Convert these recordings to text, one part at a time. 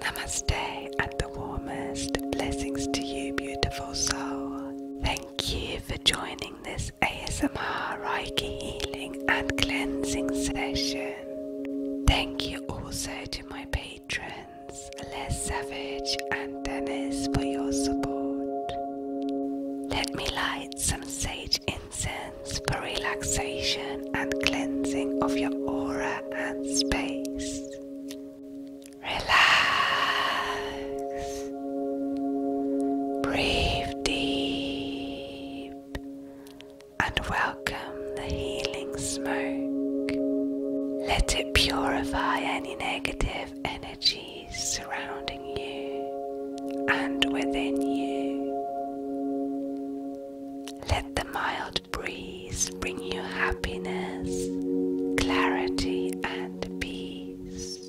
Namaste and the warmest blessings to you, beautiful soul. Thank you for joining this ASMR Reiki healing and cleansing session. Thank you also to my patrons, Les Savage and Dennis, for your support. Let me light some sage incense for relaxation and cleansing of your aura and space. Relax. Breathe deep and welcome the healing smoke. Let it purify any negative energy surrounding you and within you. Let the mild breeze bring you happiness, clarity, and peace.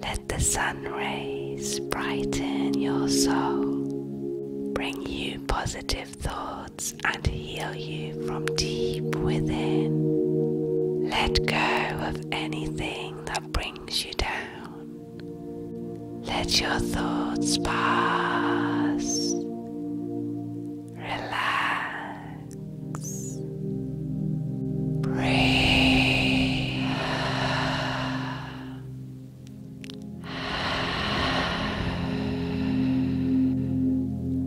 Let the sun rays brighten your soul, bring you positive thoughts and heal you from deep within. Let go of anything that brings you down. Let your thoughts pass. Relax. Breathe.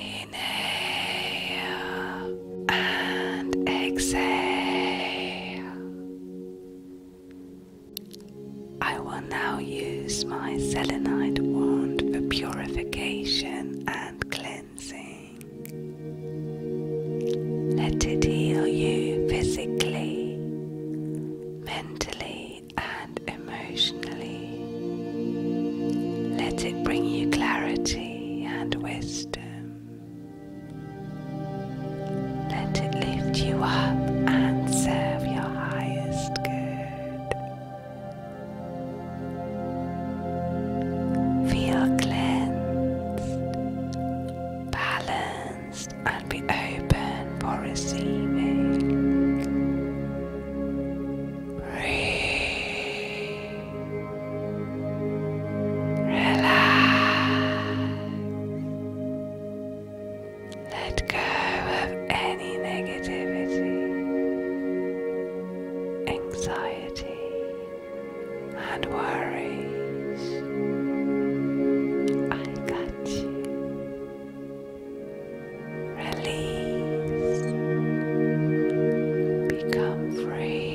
Inhale and exhale. I will now use my selenite wand for purification and and cleansing. Let it heal you physically, mentally, and emotionally. Let it bring you clarity and wisdom. Let it lift you up and serve your highest good. Feel cleansed, balanced, and be open for receiving. Breathe. Relax. Let go of any negativity, anxiety, and worries. I got you. Release. Become free.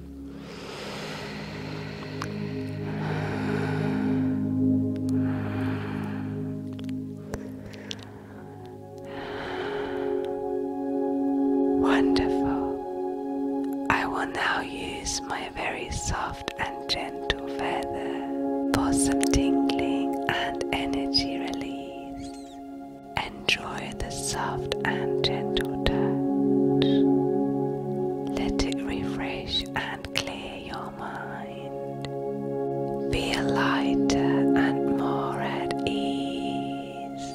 Wonderful. I will now use my very soft and gentle feather for some tingling and energy release. Enjoy the soft and gentle touch. Let it refresh and clear your mind. Feel lighter and more at ease.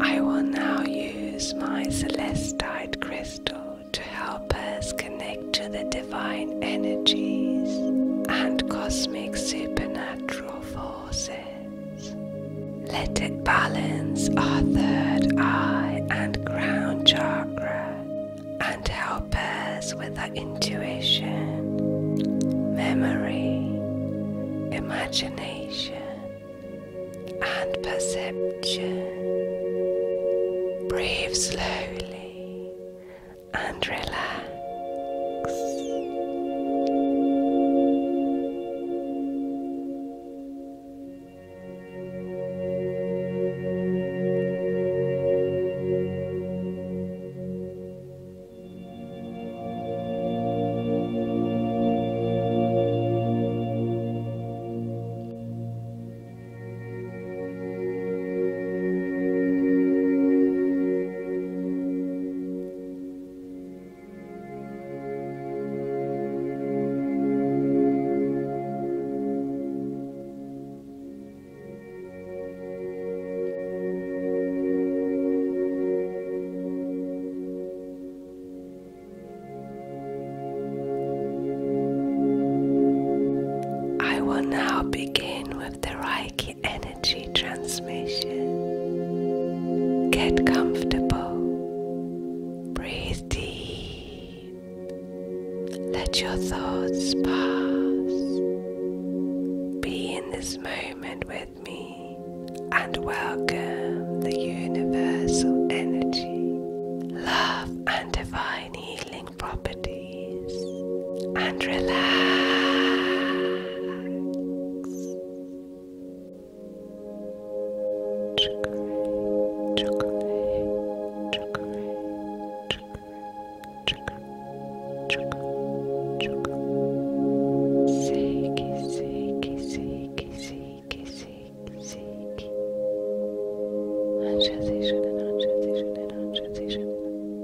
I will now use my celestite crystal to help us connect to the divine energies and cosmic supernatural forces. Let it balance our third eye and crown chakra and help us with our intuition, memory, imagination, and perception. Breathe slowly and relax. I will now begin with the Reiki energy transmission. Get comfortable. Breathe deep. Let your thoughts pass. Be in this moment with me and welcome the universal energy, love, and divine healing properties and relax. Chocolate, chocolate, chocolate, chocolate, chocolate, chocolate, chocolate. Seek, seek, seek, seek, seek, seek. Transition and transition and transition.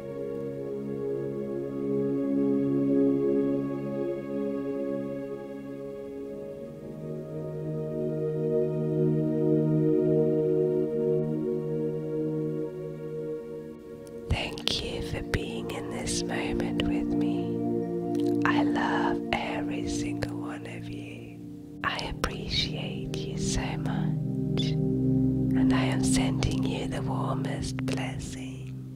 Thank you for being in this moment with me. I love every single one of you. I appreciate you so much, and I am sending you the warmest blessing.